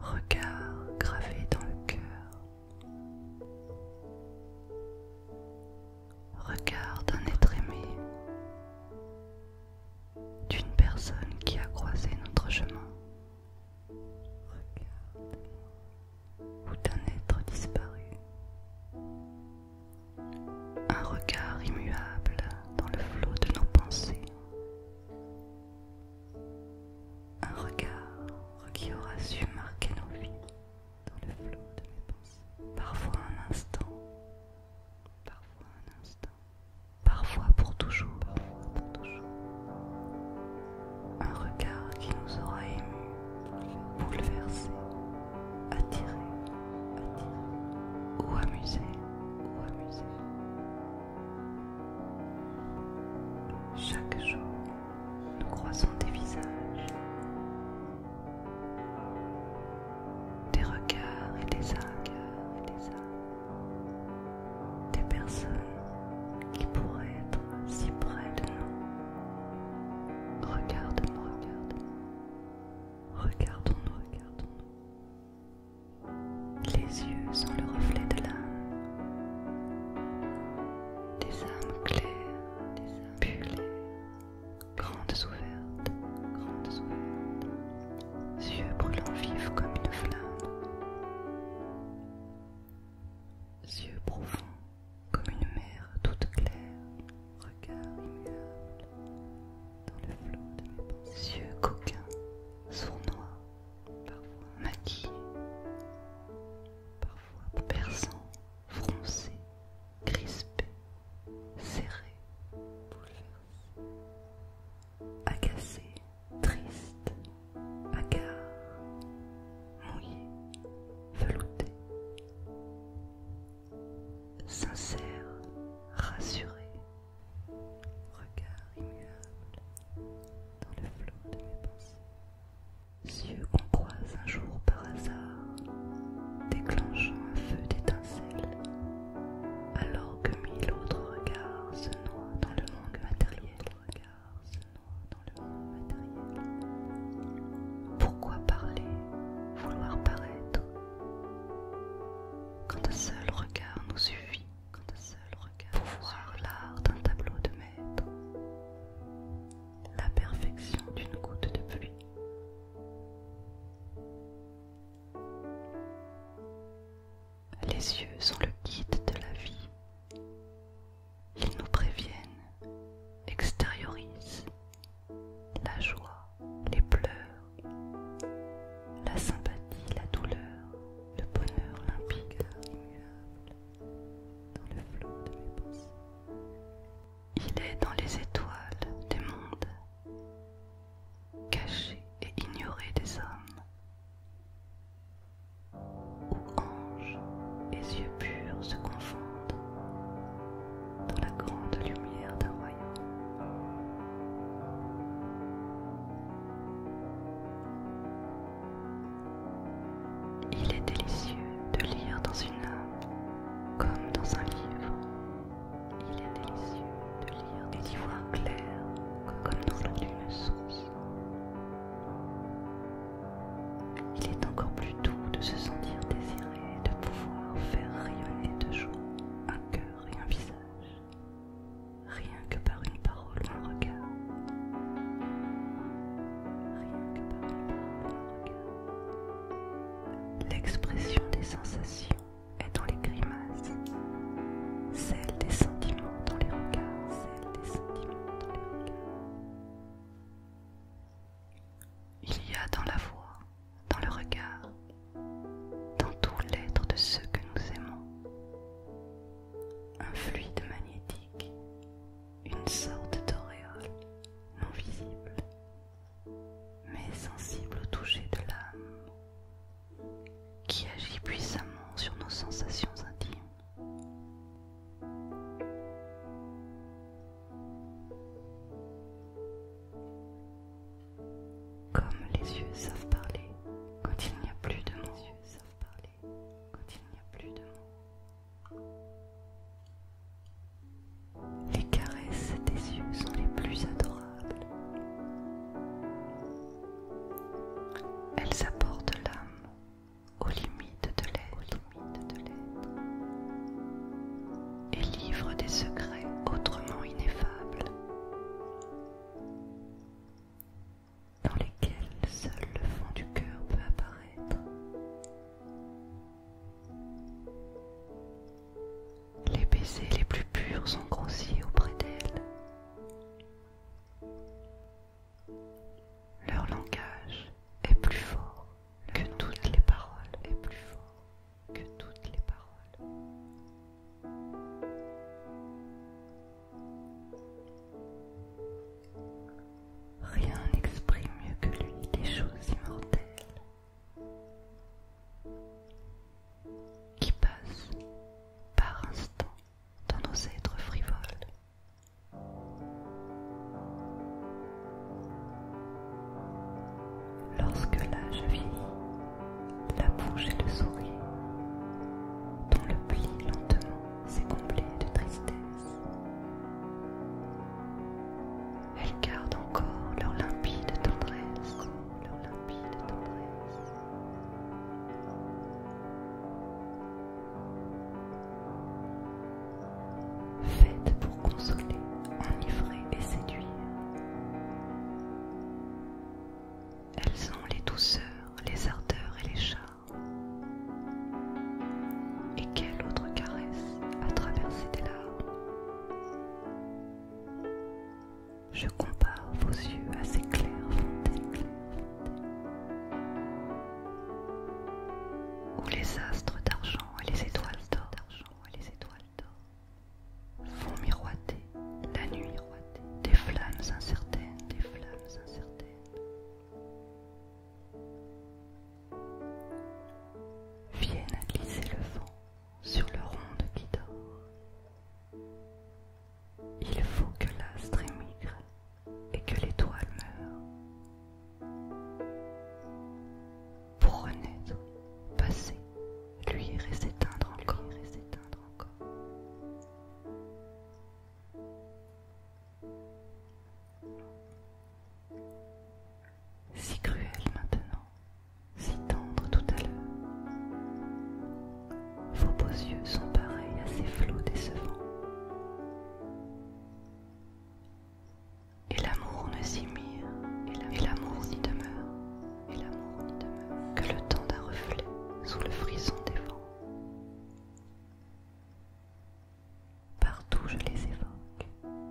Regard gravé dans le cœur Regard d'un être aimé, d'une personne qui a croisé notre chemin. regarde Ou d'un être disparu. Un regard immuable dans le flot de nos pensées un regard qui aura su marquer nos vies dans le flot de mes pensées. Parfois un instant, parfois un instant, parfois pour toujours, parfois pour toujours. Un regard qui nous aura émus, bouleversés, attirés, attirés, ou amusés, ou amusés. Chaque jour, nous croisons des visages, des regards et des regards et des âmes, des personnes qui pourraient être si près de nous. Regarde-nous, regardons nous regardons-nous, regardons-nous. Les yeux sont le reflet de l'âme. Des âmes claires, des âmes grandes ouvertes, grandes ouvertes. Yeux brûlants vifs comme une flamme. Yeux profonds comme une mer toute claire. Regard immuable dans le flot de pensées. Yeux coquins, sournois, parfois maquillé, parfois perçant, froncé, crispé, serré, bouleversé, agacé, triste, hagard, mouillé, velouté, sincère, rassuré, regard immuable dans le flot de mes pensées. Yeux qu'on croise un jour par hasard, déclenchant un feu d'étincelle alors que mille autres regards se noient dans le monde matériel. dans le monde matériel. Pourquoi parler, vouloir paraître, quand un seul regard nous suffit pour seul regard voir l'art d'un tableau de maître, la perfection d'une goutte de pluie. Les yeux sont le guide de la vie. Ils nous préviennent, extériorisent la joie, les pleurs, la sympathie, la douleur, le bonheur limpide, immuable, dans le flot de mes pensées. Il est dans les étoiles des mondes, caché et ignoré des hommes, où anges et yeux purs se confondent dans la grande lumière d'un royaume. Il est délicieux de lire dans une âme comme dans un livre. Il est délicieux de lire des livres clairs comme dans une d'une source. Il est encore plus doux de se sentir désiré, de pouvoir faire rayonner de joie un cœur et un visage rien que par une parole ou un regard. Rien que par une parole un regard. L'expression des sensations est dans les grimaces, celle des sentiments dans les regards, celle des sentiments dans les regards. Il y a dans la voix dans le regard, dans tout l'être de ceux que nous aimons. Un fluide magnétique, une sorte d'auréole non visible, mais sensible au toucher de l'âme, qui agit puissamment sur nos sensations intimes. Comme les yeux savent parler quand il n'y a plus de mots. Les yeux savent parler quand il n'y a plus de Les caresses des yeux sont les plus adorables. Elles apportent l'âme aux limites de l'être et livre des secrets autrement ineffables, dans lesquels seul le fond du cœur peut apparaître. Les baisers les plus purs sont grossiers auprès d'elle. Leur langage est plus fort que toutes les paroles est plus fort que toutes les paroles. Rien n'exprime mieux que lui les choses immortelles qui passent par instant dans nos êtres frivoles. Lorsque l'âge vieillit, la bouche est le sourire, dont le pli lentement s'est comblé de tristesse, Elle garde encore leur limpide tendresse, leur limpide tendresse. Faites pour consoler, enivrer et séduire. Elles ont les douceurs, les ardeurs et les charmes. Et quelle autre caresse a traversé des larmes Je compare vos yeux à ces claires fontaines, claires les astres d'argent et les étoiles d'or font miroiter la nuit des flammes incertaines, des flammes incertaines. Viennent glisser le vent sur le ronde qui dort. Il faut que l'astre émigre et que l'étoile meure. Pour renaître, passer, lui et s'éteindre encore. et s'éteindre encore. Si cruel maintenant, si tendre tout à l'heure. Vos beaux yeux sont pareils à ces flots décevants. Et l'amour ne s'y mire, et l'amour n'y demeure, et l'amour n'y demeure, que le temps d'un reflet sous le frisson des vents. Partout je les évoque,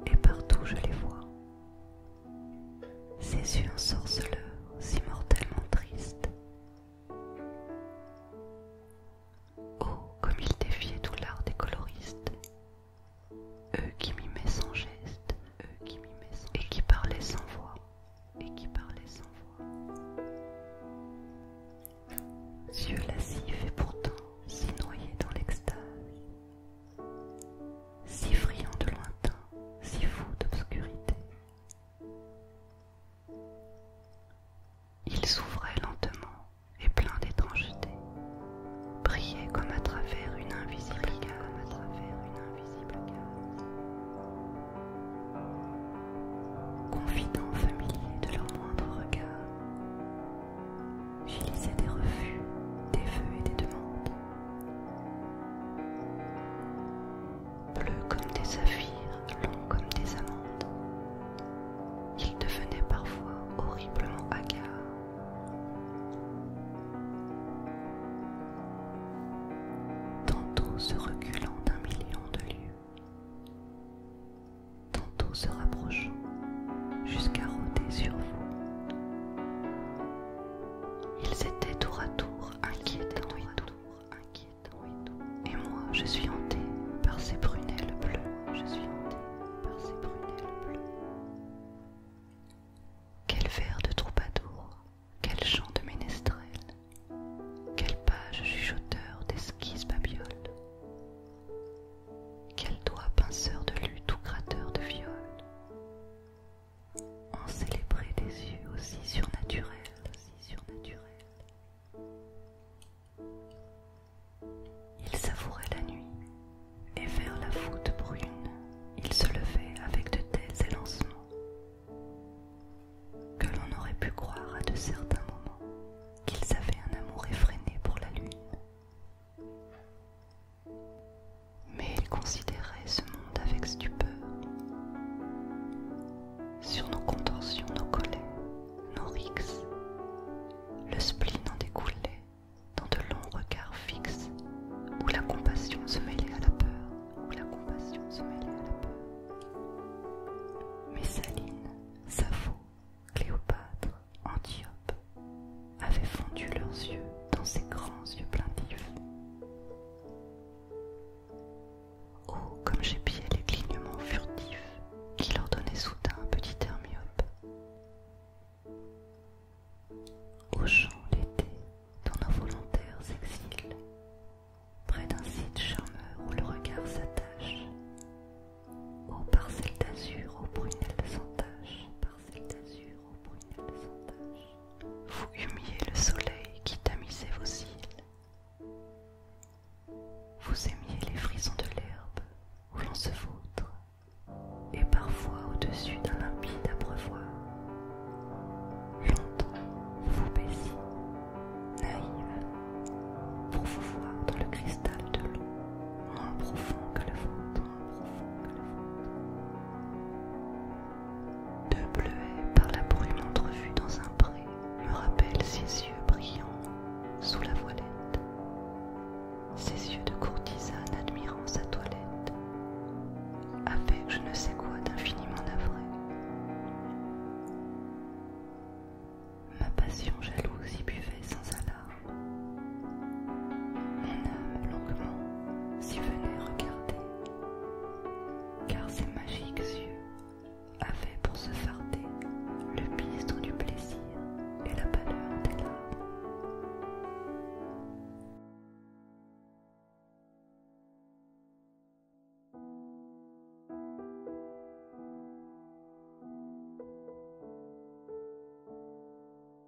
et partout je les vois. Ces yeux ensorceleurs, si mortellement tristes. Oh, comme il défiait tout l'art des coloristes. Eux qui mimaient sans geste, eux qui mimaient sans et qui parlaient sans voix, et qui parlaient sans voix. Yeux lascifs et pourtant si noyés dans l'extase, si friands de lointain, si fous d'obscurité. Il s'ouvrait lentement et plein d'étrangeté, brillait comme à travers une invisible gamme, à travers une invisible Confident familier de leur moindre regard, j'y lisais des refus, des feux et des demandes bleus comme des saphirs, longs comme des amandes. Ils devenaient parfois horriblement hagards, Tantôt se reculant d'un million de lieux, tantôt se rapprochant jusqu'à rôder sur vous. Ils étaient tour à tour inquiétants tour inquiétants et moi, je suis hantée par ces prunelles bleues. Je suis hantée par ces prunelles bleues. Quel vers de troubadour, quel chant de ménestrel, quelle page chuchoteur d'esquisse babioles, quel doigt pinceur de lutte ou gratteur de viol. En célébrer des yeux aussi surnaturels, surnaturels. Il savourait la nuit, et vers la voûte brune, il se levait avec de tels élancements que l'on aurait pu croire à de certains moments qu'il avaient un amour effréné pour la lune. Mais il considérait ce monde avec stupeur sur nos contorsions, nos collets, nos rixes. Le spleen en découlait dans de longs regards fixes, où la compassion se mêlait à la peur, où la compassion Messaline, Cléopâtre, Antiope avaient fondu leurs yeux dans ces grands yeux plaintifs. Oh, comme j'épiais les clignements furtifs qui leur donnaient soudain un petit air myope. l'été, dans nos volontaires exils, près d'un site charmeur où le regard s'attache, aux parcelles d'azur, aux Brunel de vous humiez le soleil qui tamisait vos cils. Vous aimiez les frissons de l'herbe où l'on se vôtre et parfois au-dessus d'un limpide abreuvoir. Longtemps, vous baisiez, naïve, pour vous voir dans le cristal de l'eau, moins profond que le ventre moins profond que le deux bleuets par la brume entrevue dans un pré me rappellent ses yeux brillants sous la voilette, ses yeux de courtisane admirant sa toilette, avec je ne sais quoi d'infiniment navré. Ma passion jalouse y buvait sans alarme. Mon âme longuement s'y venait regarder car ses magiques yeux avaient pour se farder le bistre du plaisir et la pâleur des